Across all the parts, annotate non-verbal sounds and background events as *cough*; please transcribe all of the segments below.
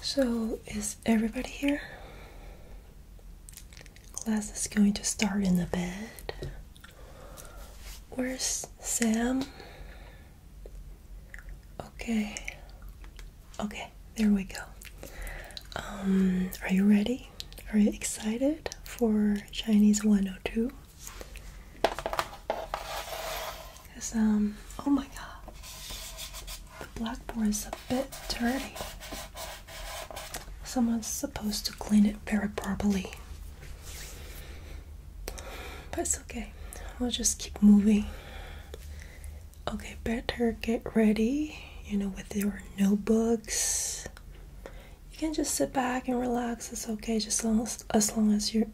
So, is everybody here? Class is going to start in the bed. Where's Sam? Okay. Okay, there we go. Um, are you ready? Are you excited for Chinese 102? Cause um, oh my god, the blackboard is a bit dirty. Someone's supposed to clean it very properly. But it's okay. We'll just keep moving. Okay, better get ready, you know, with your notebooks. You can just sit back and relax. It's okay, just as long as, you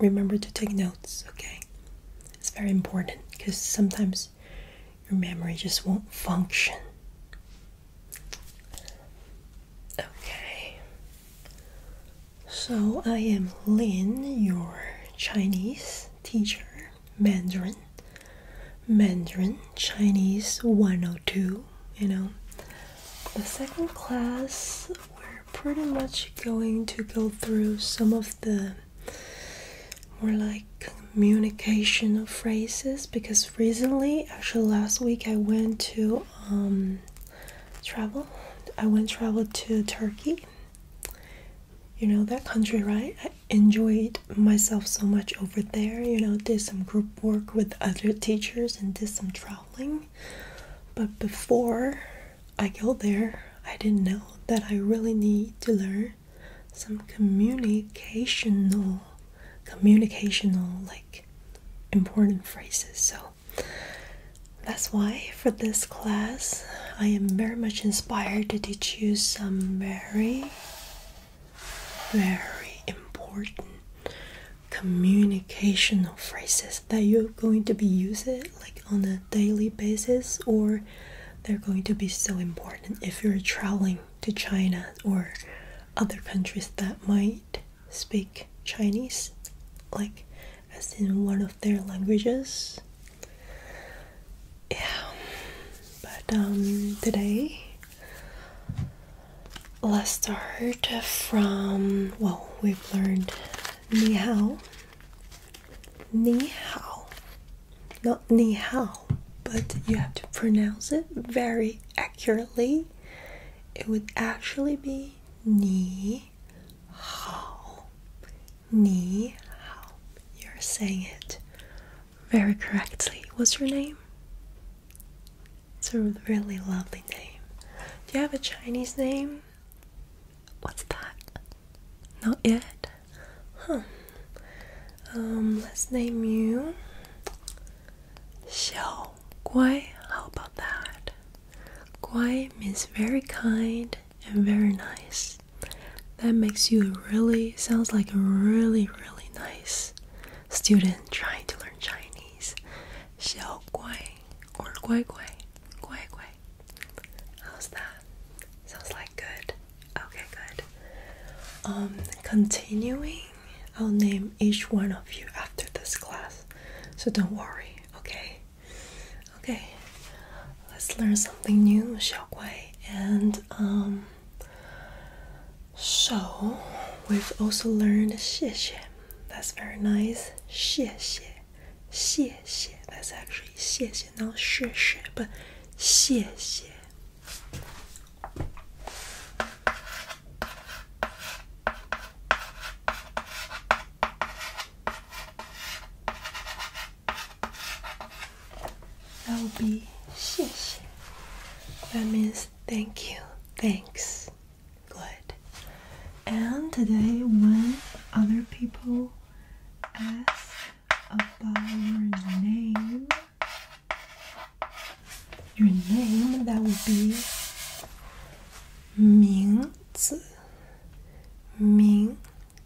remember to take notes, okay? It's very important because sometimes your memory just won't function. Okay. So I am Lin, your Chinese teacher, Mandarin. Mandarin, Chinese 102, you know. The second class, we're pretty much going to go through some of the more like communication of phrases because recently actually last week i went to um, travel i went traveled to turkey you know that country right i enjoyed myself so much over there you know did some group work with other teachers and did some traveling but before I go there, I didn't know that I really need to learn some communicational, communicational, like important phrases. So that's why for this class, I am very much inspired to teach you some very, very important communicational phrases that you're going to be using like on a daily basis or they're going to be so important if you're traveling to China or other countries that might speak Chinese, like as in one of their languages. Yeah, but um, today let's start from well, we've learned ni ni hao. Not ni hao, but you have to pronounce it very accurately. It would actually be ni hao. Ni hao. You're saying it very correctly. What's your name? It's a really lovely name. Do you have a Chinese name? What's that? Not yet? Huh. Um, let's name you Xiao Guai. How about that? Guai means very kind and very nice. That makes you really, sounds like a really, really nice student trying to learn Chinese. Xiao Guai or Guai Guai. Guai Guai. How's that? Sounds like good. Okay, good. Um, continuing, I'll name each one of you after this class, so don't worry. Okay. Okay. Let's learn something new, Xiaoguai. And um, so we've also learned 谢谢. That's very nice. 谢谢 xie xie. That's actually xie xie, not shi shi, but xie xie. That would be xie xie. That means thank you, thanks. Good. And today, when other people ask about your name. Your name that would be 名字名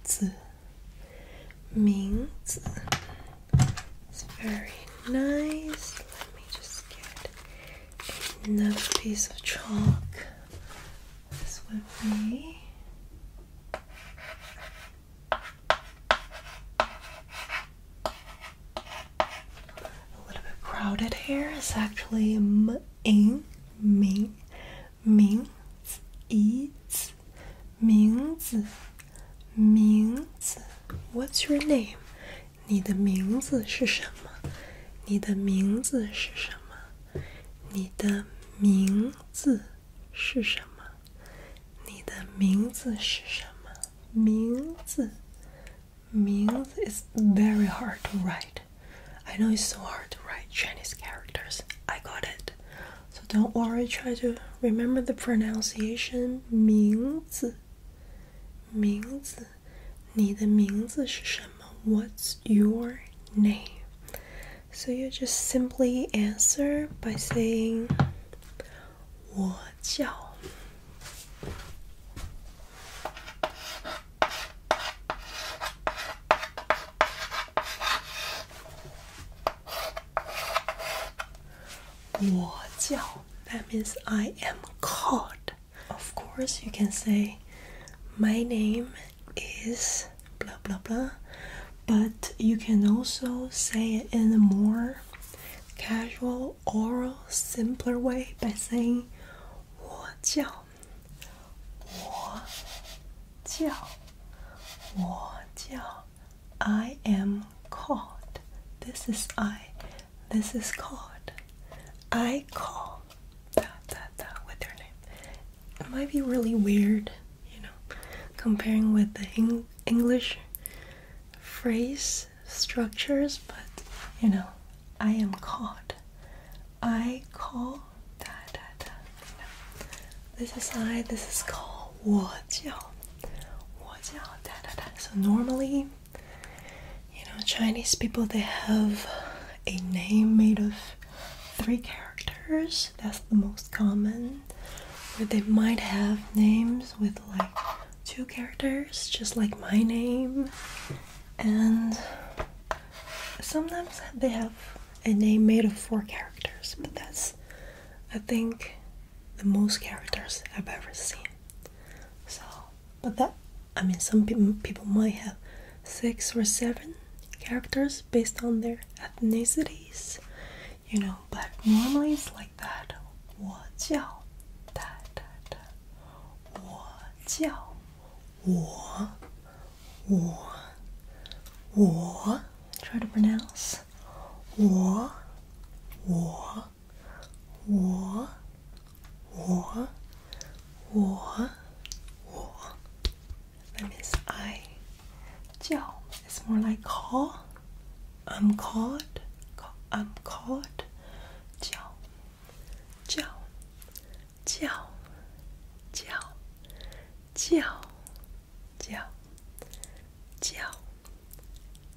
字名字 It's very nice. Let me just get another piece of chalk. This would be a little bit crowded here. It's actually m in ming mings eats mings mings. What's your name? 你的名字是什么？你的名字是什么？你的名字是什么？你的名字是什么？名字，名字 is very hard to write. I know it's so hard to write Chinese characters. I got it. So don't worry, try to remember the pronunciation 名字名字你的名字是什么？What's your name? So you just simply answer by saying 我叫我叫 That means I am called. Of course, you can say my name is blah blah blah but you can also say it in a more casual oral simpler way by saying 我叫我叫我叫 I am called this is I this is called I call that, that, that with their name. It might be really weird, you know, comparing with the English phrase structures, but you know, I am called. I call da da da. You know. This is I, this is called 我叫,我叫, da, da, da. So normally, you know, Chinese people they have a name made of three characters. That's the most common. Where they might have names with like two characters, just like my name. And sometimes they have a name made of four characters, but that's, I think, the most characters I've ever seen. So, but that, I mean, some people, people might have six or seven characters based on their ethnicities. You know, but normally it's like that. 我叫哒哒哒，我叫我我我 try to pronounce 我我我我我我 that means I. 叫 is more like call. I'm called. Call, I'm um, called. 叫叫叫叫叫叫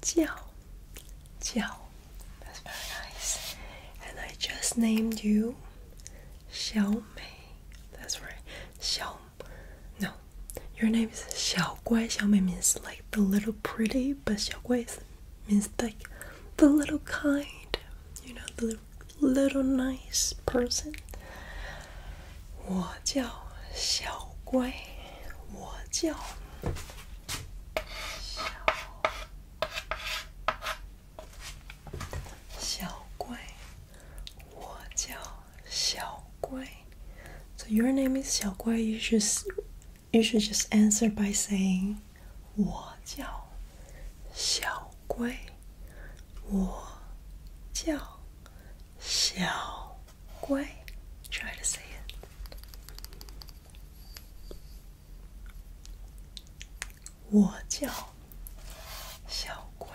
叫叫叫 um, That's very nice. And I just named you Xiao Mei. That's right. Xiao. No, your name is Xiao Guai. Xiao Mei means like the little pretty, but Xiao Guai means like the little kind. You know, the little nice person. 我叫小乖，我叫小小贵, So your name is Xiao Gui. You should you should just answer by saying 我叫小龟，我叫小龟。Try to say it. 我叫小乖.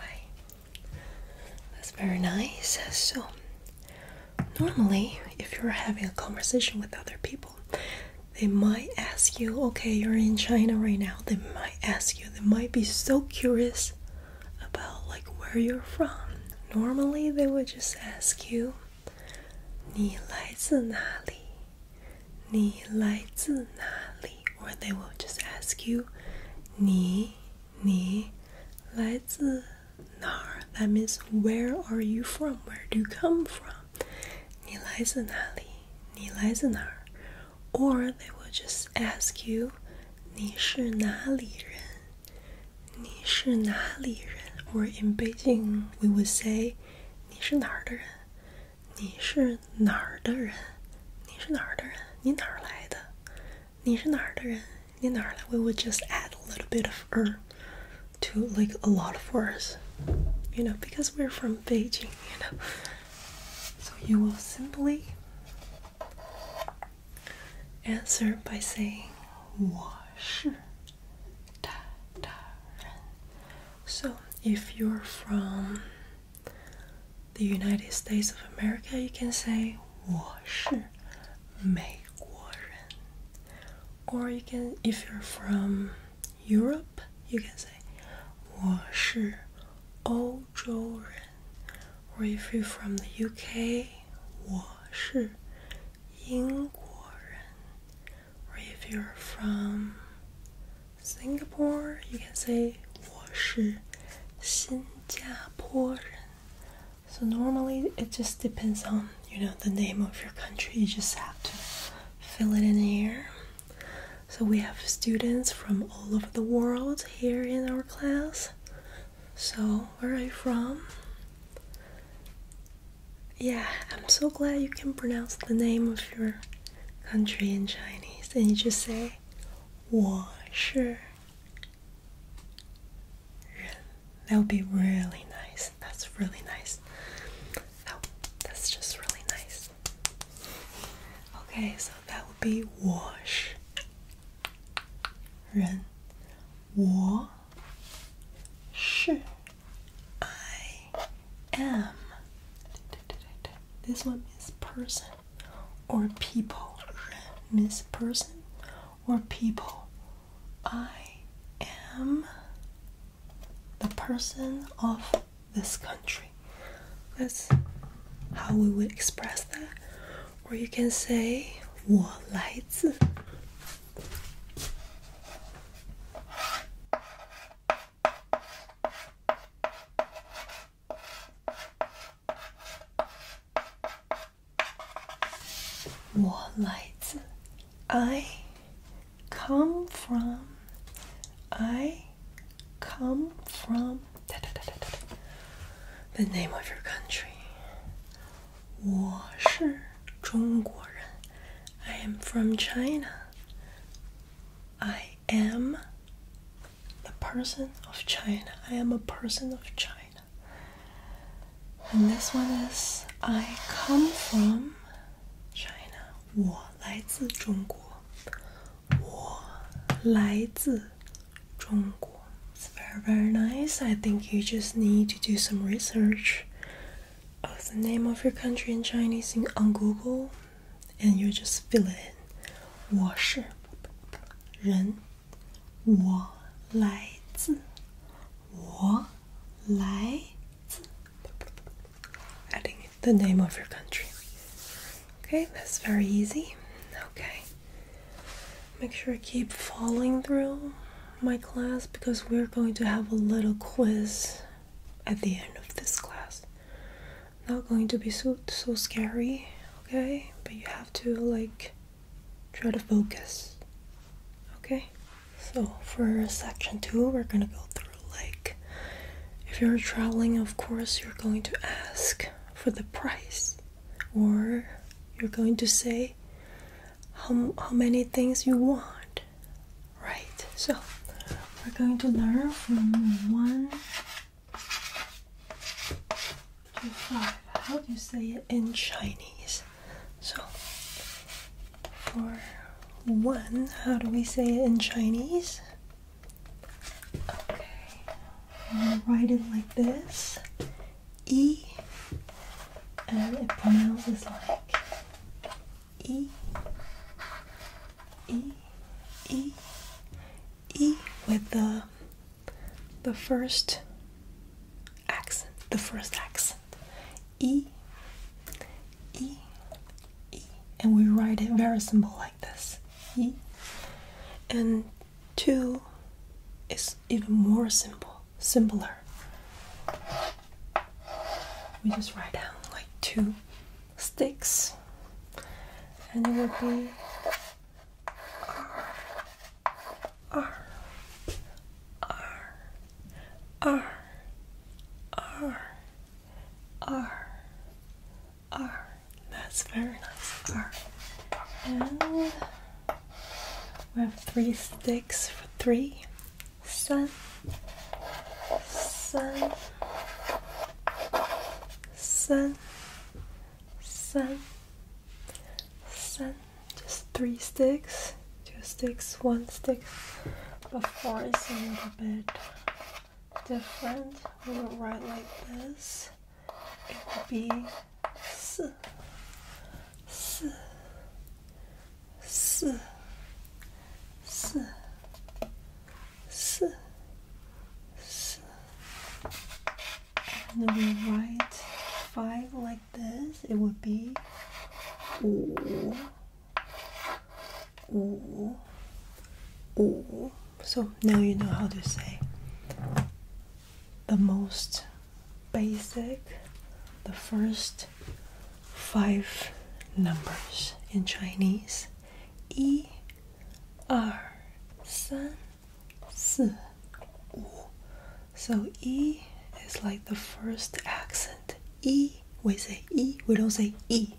That's very nice. So, normally, if you're having a conversation with other people, they might ask you, okay, you're in China right now. They might ask you, they might be so curious about like where you're from. Normally, they would just ask you, 你来自哪里?你来自哪里? Or they will just ask you, 你你来自哪儿? That means where are you from? Where do you come from? 你来自哪里?你来自哪儿? Or they will just ask you, 你是哪里人?你是哪里人? Or in Beijing, we would say, 你是哪儿的人?你是哪儿的人？你是哪儿的人？你哪儿来的？你是哪儿的人？你哪儿来？We will just add a little bit of er to like a lot of words, you know, because we're from Beijing, you know. So you will simply answer by saying So if you're from the United States of America, you can say 我是美国人 or you can, if you're from Europe, you can say 我是欧洲人 or if you're from the UK, 我是英国人 or if you're from Singapore, you can say 我是新加坡人. So normally it just depends on you know the name of your country. You just have to fill it in here. So we have students from all over the world here in our class. So where are you from? Yeah, I'm so glad you can pronounce the name of your country in Chinese, and you just say 我是人. That would be really nice. That's really nice. Oh, that's just really nice. Okay, so that would be 我是人.我是 I am. This one is person or people. Miss person or people. I am the person of this country. That's how we would express that. Or you can say 我来自.我来自 I come from I come from the name of your country 我是中国人 I am from China I am the person of China. I am a person of China. And this one is I come from China. It's very, very nice. I think you just need to do some research of the name of your country in Chinese on Google and you just fill it in. 我是人，我来自，我来自。Adding the name of your country. Okay, that's very easy. Okay. Make sure I keep following through my class because we're going to have a little quiz at the end of this class not going to be so so scary, okay? But you have to like try to focus. Okay? So for section two we're gonna go through like if you're traveling of course you're going to ask for the price or you're going to say how, how many things you want right so we're going to learn from 1 to 5 how do you say it in Chinese. So, for 1, how do we say it in Chinese? Okay, I'm gonna write it like this E, and it pronounces like E. E, E, E with the the first accent, the first accent. E, E, E, and we write it very simple like this. E, and two is even more simple, simpler. We just write down like two sticks and it will be R, R, R, R, R, R, R. That's very nice. R. And we have three sticks for three. Sun, sun sun, Just three sticks, two sticks, one stick. But four is a little bit different. We will write like this. It will be S, And we write five like this, it would be wu, So now you know how to say the most basic, the first five numbers in Chinese so e is like the first accent. E, we say e, we don't say e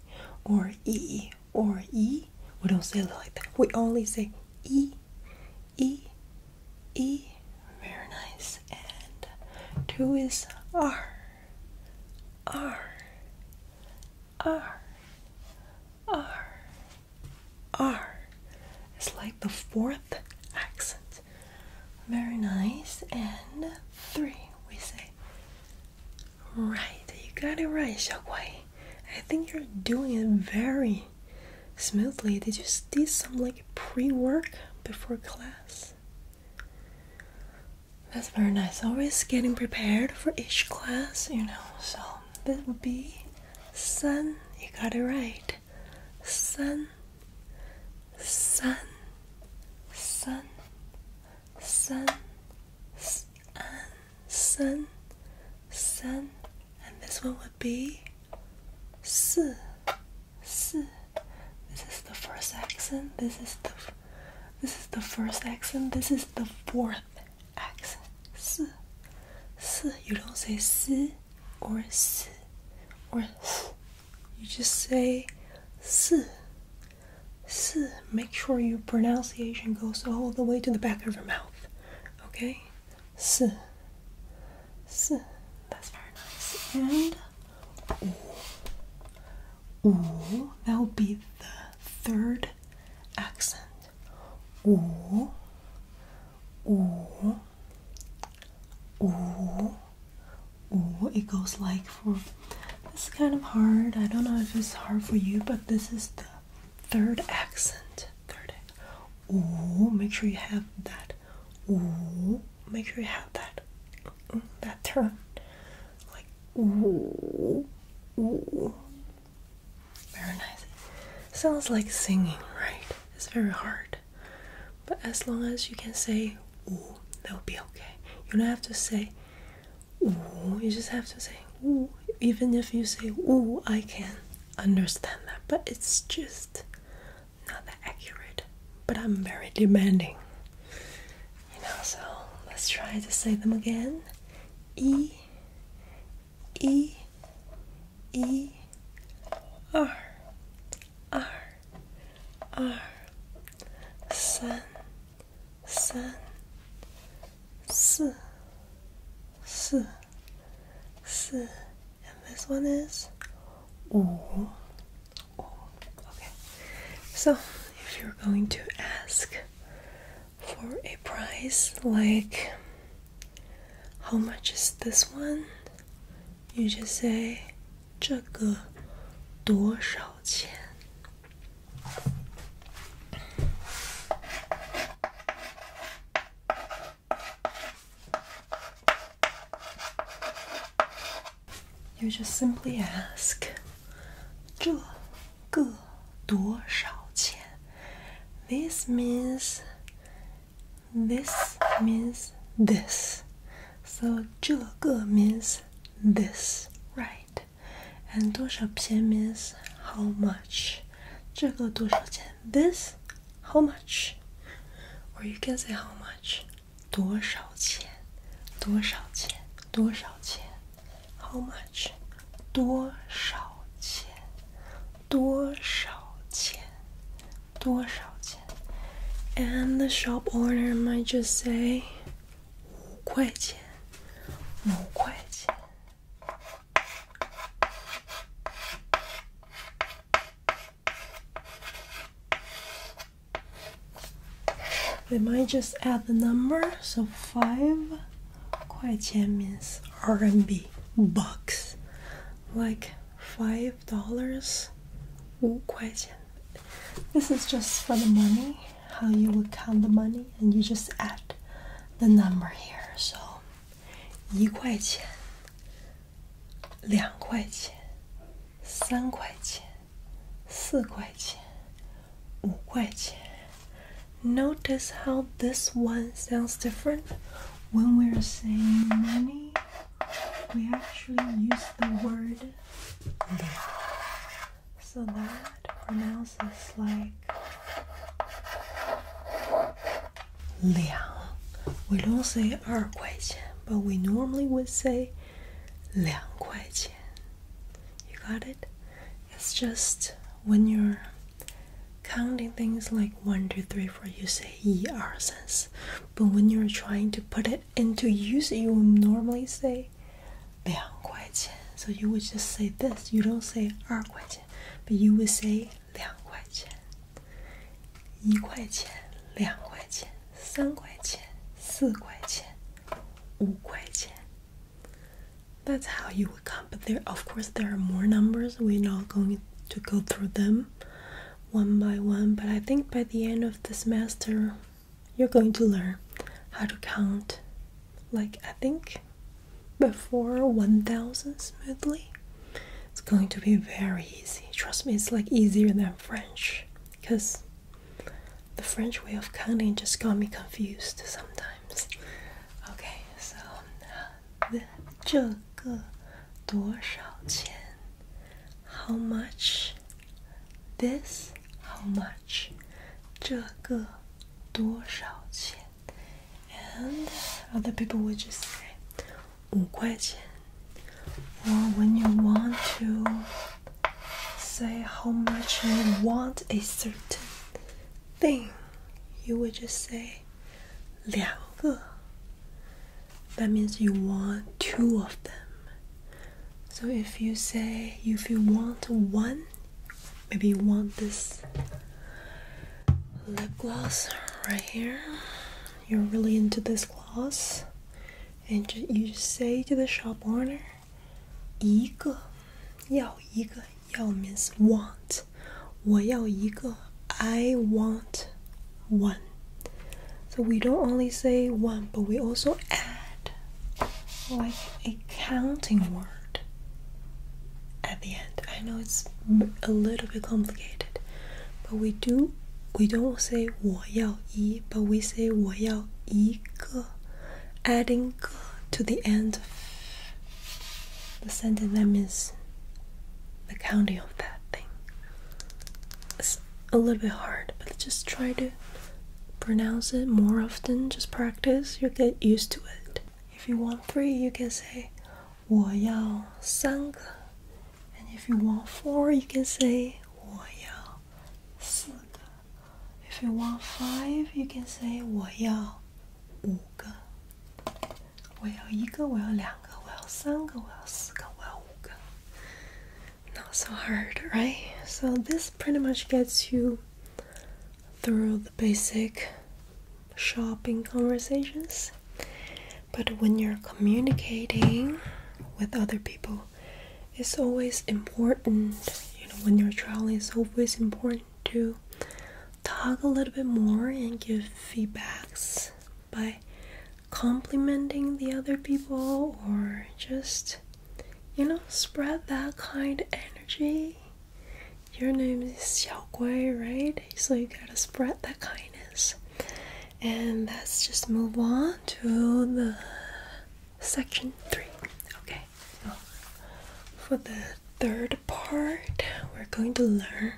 or e or e. We don't say it like that. We only say e, e, e. Very nice. And two is r, r, R, R, R. It's like the fourth accent. Very nice. And three, we say. Right, you got it right, Xiaoguai. I think you're doing it very smoothly. Did you do some like pre work before class? That's very nice. Always getting prepared for each class, you know. So this would be sun. You got it right. Sun, sun, sun, sun, sun, sun, And this one would be si, si. This is the first accent. This is the this is the first accent. This is the fourth accent. S. S. You don't say s or s or s. You just say s. S. Make sure your pronunciation goes all the way to the back of your mouth. Okay? S. S. That's very nice. And. U, that will be the third accent. U, U, U, U. It goes like for. This is kind of hard. I don't know if it's hard for you, but this is the third accent. Third. Ooh, make sure you have that. Ooh, make sure you have that. Mm, that turn like ooh, ooh. Very nice. Sounds like singing, right? It's very hard. But as long as you can say ooh, that'll be okay. You don't have to say ooh, you just have to say ooh. Even if you say ooh, I can understand that, but it's just not that accurate. But I'm very demanding. You know, so let's try to say them again. E, E, E, R, R, R. Sun, sun, si, si, si. And this one is wu, Okay. So if you're going to ask for a price like how much is this one? You just say 这个多少钱? You just simply ask 这个多少钱？This means this means this. So 这个 means this, right? And 多少钱 means how much? 这个多少钱？This how much? Or you can say how much？多少钱？多少钱？多少钱？How much? 多少钱？多少钱？多少钱？And the shop owner might just say 五块钱，五块钱。they might just add the number, so five 块钱 means RMB bucks, like five dollars. 五块钱. This is just for the money, how you would count the money, and you just add the number here. So 一块钱，两块钱，三块钱。四块钱，五块钱. Notice how this one sounds different. When we're saying money, we actually use the word that. *laughs* So that pronounces like liang. We don't say 二块钱, but we normally would say 两块钱. You got it? It's just when you're counting things like one, two, three, four, you say er sense. But when you're trying to put it into use, you will normally say "liang 两块钱. So you would just say this. You don't say "er 二块钱, but you would say "liang 两块钱.一块钱,两块钱,三块钱,四块钱,五块钱. That's how you would count. But there, of course, there are more numbers. We're not going to go through them one by one. But I think by the end of the semester, you're going to learn how to count. Like I think before 1000 smoothly. It's going to be very easy. Trust me, it's like easier than French because the French way of counting just got me confused sometimes. Okay, so the 这个多少钱? How much? This? How much? 这个多少钱? And other people would just say 五块钱. Or when you want to say how much you want a certain thing, you would just say 两个. That means you want two of them. So if you say if you want one, maybe you want this lip gloss right here. You're really into this gloss, and you just say to the shop owner 一个，要一个，要 means want. want，我要一个，I want one. So we don't only say one, but we also add like a counting word at the end. I know it's a little bit complicated, but we do. We don't say 我要一, but we say 我要一个 adding to the end of the sentence that means the counting of that thing. It's a little bit hard, but just try to pronounce it more often. Just practice, you will get used to it. If you want three, you can say 我要三个 and if you want four, you can say 我要四个 if you want five, you can say Not so hard, right? So this pretty much gets you through the basic shopping conversations. But when you're communicating with other people, it's always important you know when you're traveling it's always important to talk a little bit more and give feedbacks by complimenting the other people or just you know spread that kind of energy your name is Xiao Gui, right? So you gotta spread that kindness. And let's just move on to the section three. Okay so for the third part we're going to learn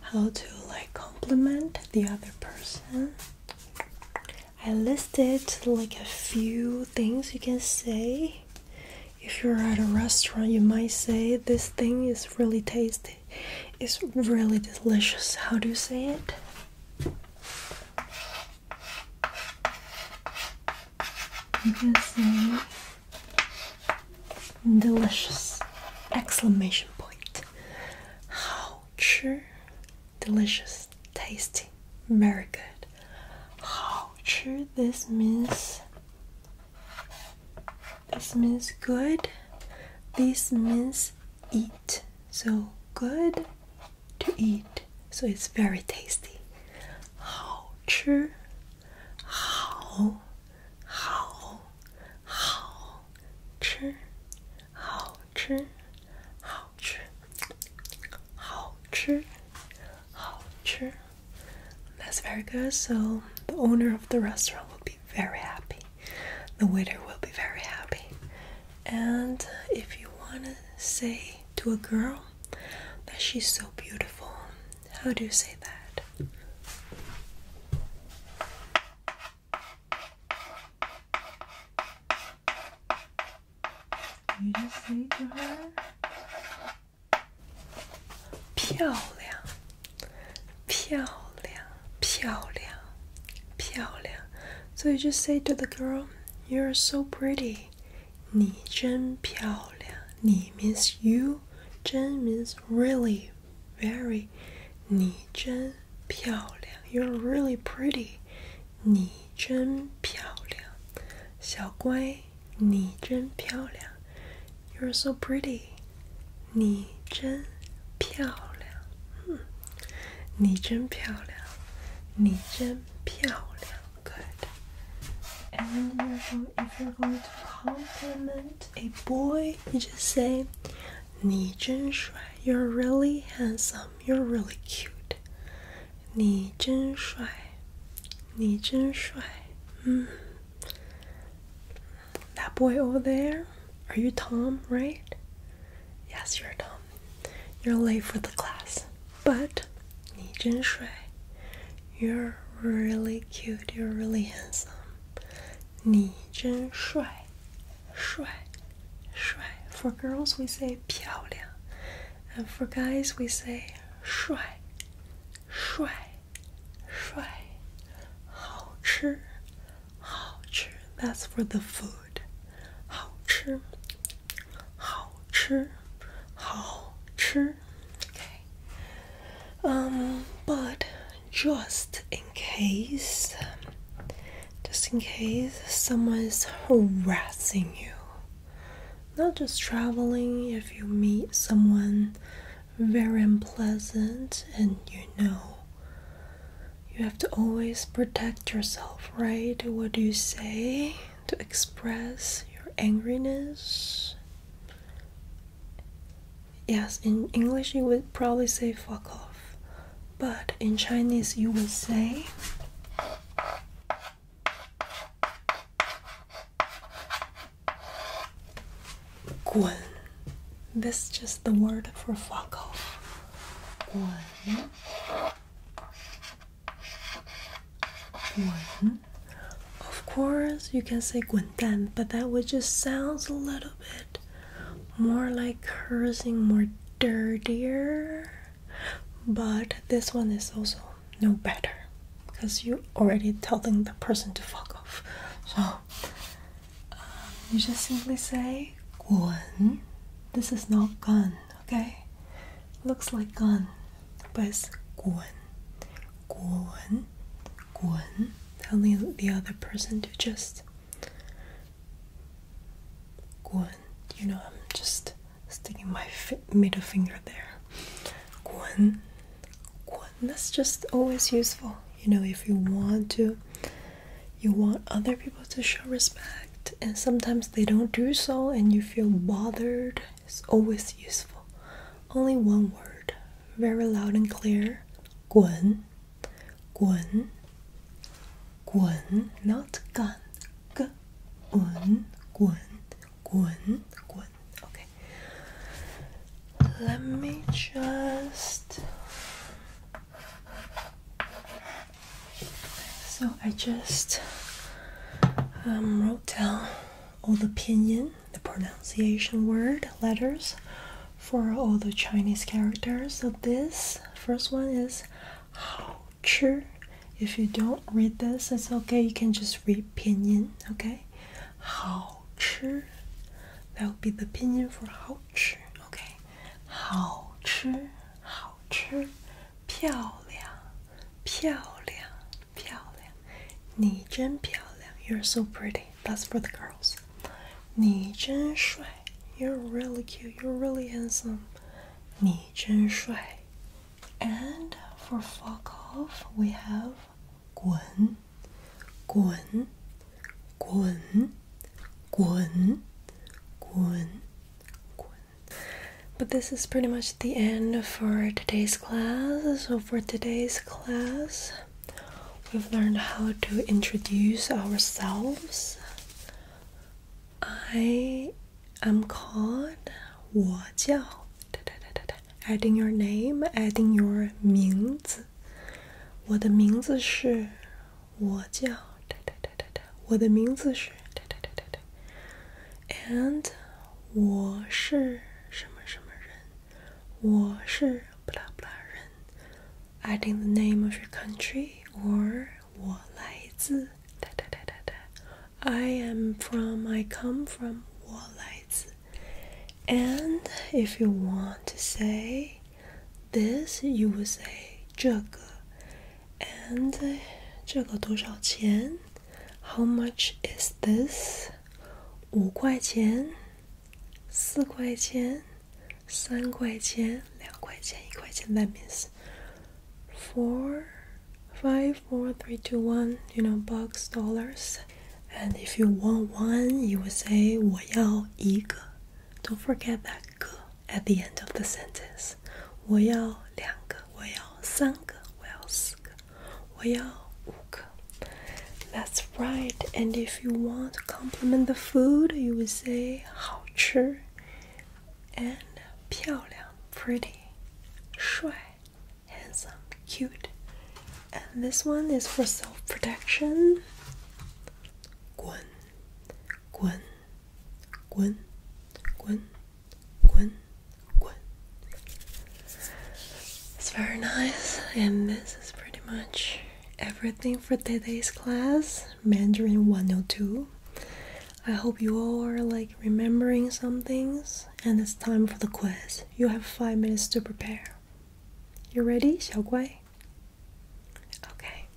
how to like compliment the other person i listed like a few things you can say if you're at a restaurant you might say this thing is really tasty it's really delicious how do you say it you can see delicious exclamation point. How true delicious tasty very good. How this means this means good. This means eat. So good to eat, so it's very tasty. 好吃，好，好，好吃，好吃，好吃，好吃，好吃。That's very good. So the owner of the restaurant will be very happy. The waiter will be very happy. And if you wanna say to a girl that she's so beautiful. How do you say that? You just say to her, 漂亮，漂亮，漂亮，漂亮。So you just say to the girl, "You're so pretty." 你真漂亮。你 means you，真 means really，very。你真漂亮。You're really pretty。你真漂亮。小乖，你真漂亮。You're so pretty。你真漂亮。哼，你真漂亮。你真漂亮。good. And if you're going to compliment a boy, you just say, "Ni zhen shuai." You're really handsome. You're really cute. Ni zhen shuai. Ni zhen shuai. Mm-hmm. That boy over there. Are you Tom? Right? Yes, you're Tom you're late for the class. But, Ni Jin Shui, you're really cute, you're really handsome. Ni Jin Shui, Shui, Shui. For girls, we say 漂亮, and for guys, we say 帅,帅,帅.好吃,好吃. That's for the food. 好吃,好吃, Okay. Um, but just in case, just in case someone is harassing you, not just traveling, if you meet someone very unpleasant and you know you have to always protect yourself, right? What do you say? to express your angriness. Yes, in English you would probably say fuck off, but in Chinese you would say. Guan. This is just the word for fuck off. One. Of course, you can say "günten," but that would just sounds a little bit more like cursing, more dirtier. But this one is also no better because you're already telling the person to fuck off. So um, you just simply say "gun." This is not gun okay? Looks like gun, but it's guan. Guan. Guan. Tell me the other person to just. Guan. You know, I'm just sticking my middle finger there. Guan. Guan. That's just always useful. You know, if you want to, you want other people to show respect reflect, and sometimes they don't do so, and you feel bothered. It's always useful. Only one word, very loud and clear. Guan, guan, guan, not gun. G, un, guan, guan, guan. Okay. Let me just so I just um, wrote down all the pinyin, the pronunciation word, letters for all the Chinese characters. So this first one is hao chi. If you don't read this, it's okay. You can just read pinyin, okay? Hao chi. That would be the pinyin for hao chi, okay? Hao chi, hao chi, 漂亮,漂亮，漂亮，你真漂亮，You're so pretty. That's for the girls. you are really cute. You're really handsome. 你真帅。And for fuck off, we have 滚，滚，滚，滚，滚，滚。but this is pretty much the end for today's class. So, for today's class, we've learned how to introduce ourselves. I am called 我叫, adding your name, adding your 名字。我的名字是我叫。我的名字是对对对对对，and 我是什么什么人，我是不拉不拉人，adding the name of your country or 我来自哒哒哒哒哒，I am from I come from And if you want to say this you would say 这个。and uh, how much is this？五块钱，四块钱，三块钱，两块钱，一块钱。That means four, five, four, three, two, one. You know, bucks, dollars. And if you want one, you will say "I do not forget that at the end of the sentence. That's right. And if you want to compliment the food, you would say 好吃 and 漂亮 pretty, 帅 handsome, cute. And this one is for self-protection. 滚，滚。it's very nice, and this is pretty much everything for today's class, Mandarin 102. I hope you all are like remembering some things, and it's time for the quiz. You have five minutes to prepare. You ready, Xiao 小乖? Okay.